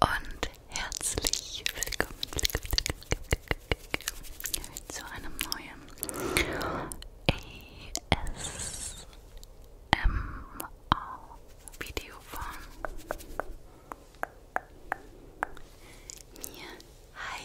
Und herzlich willkommen zu einem neuen ASMR-Video von mir. Hi!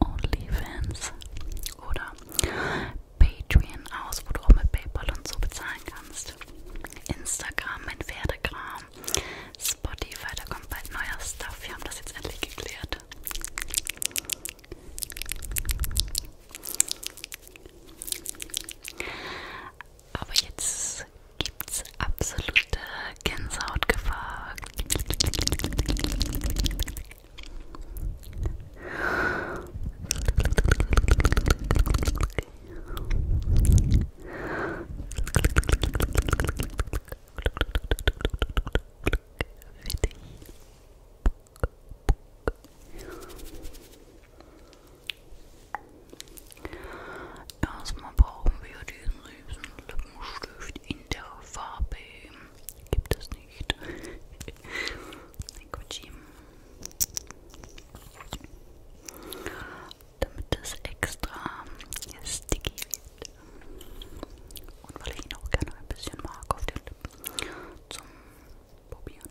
OnlyFans oder Patreon aus, wo du auch mit PayPal und so bezahlen kannst. Instagram, mein Pferdegram, Spotify, da kommt bald neuer Stuff. Wir haben das jetzt endlich geklärt. Aber jetzt gibt es absolute Gänsehautgefahr. Erstmal brauchen wir diesen riesen Lippenstift in der Farbe. Gibt es nicht. Damit es extra sticky wird. Und weil ich ihn auch gerne ein bisschen mag auf den Lippen zum Probieren.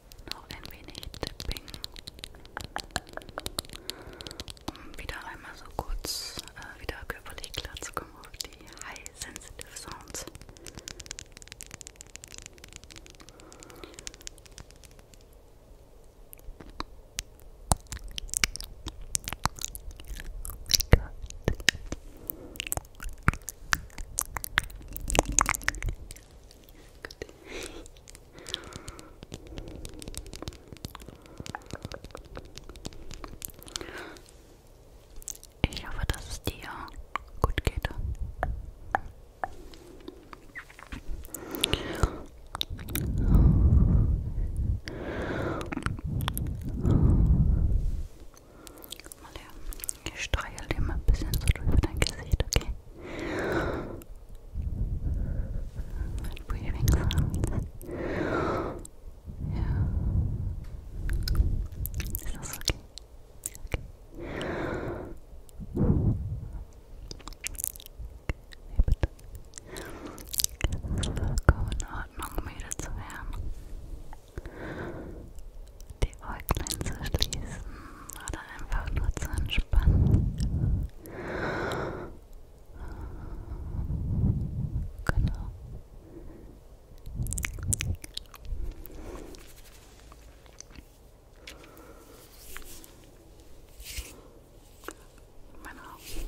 noch ein wenig Tipping, um wieder einmal so kurz äh, wieder körperlich klar zu kommen auf die High Sensitive Sounds. Oh Gut. Ich hoffe, dass es dir gut geht. Mal her. Ich streichel dir mal ein bisschen so drüber dein Gesicht, okay? Mit Breathing Sounds. Ja. Ist das okay? Okay. Nee, bitte. Es ist vollkommen in Ordnung, müde zu werden die Äuglein zu schließen oder einfach nur zu entspannen. Genau. Meine Augen.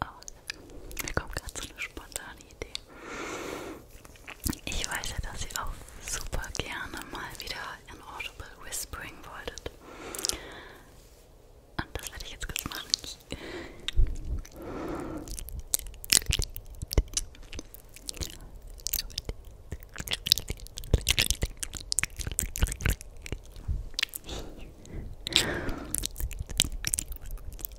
aus. Mir kommt gerade so eine spontane Idee. Ich weiß ja, dass ihr auch super gerne mal wieder Inaudible Whispering wolltet. Und das werde ich jetzt kurz machen.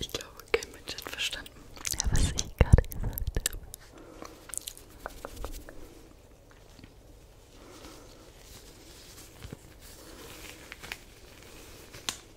Ich glaube, kein Mensch hat verstanden, ja, was ich gerade gesagt habe.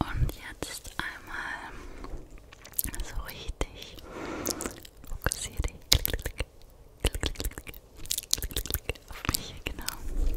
Und jetzt einmal so richtig fokussiere auf mich, genau. Okay.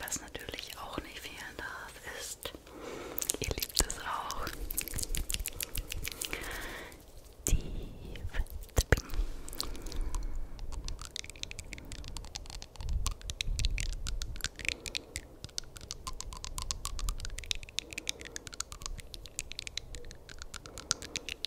Was natürlich auch nicht fehlen darf, ist, ihr liebt es auch, die Fettbing.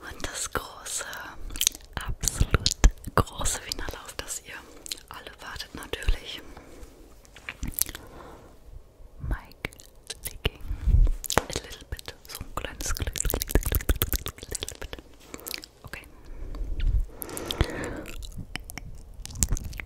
Und das große, absolut große Finale, auf das ihr alle wartet natürlich. Mike Licking. A little bit. So ein kleines Glück. Okay.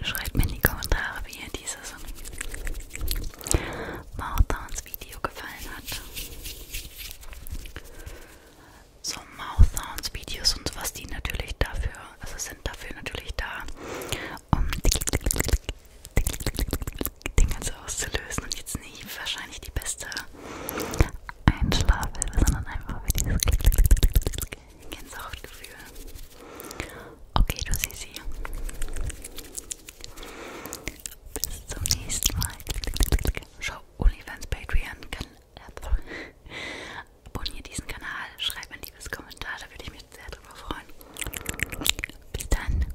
Schreibt mir in die Kommentare, wie ihr dieses Mouthsounds Video gefallen hat. So Mouthsounds Videos und sowas, die natürlich dafür, also sind dafür natürlich da, um den Ganzen auszulösen und jetzt nicht wahrscheinlich die beste Einschlafhilfe, sondern einfach für dieses Gänsehautgefühl. Okay, du Sisi. Bis zum nächsten Mal. Schau OnlyFans Patreon. Abonniere diesen Kanal. Schreib ein liebes Kommentar. Da würde ich mich sehr drüber freuen. Bis dann.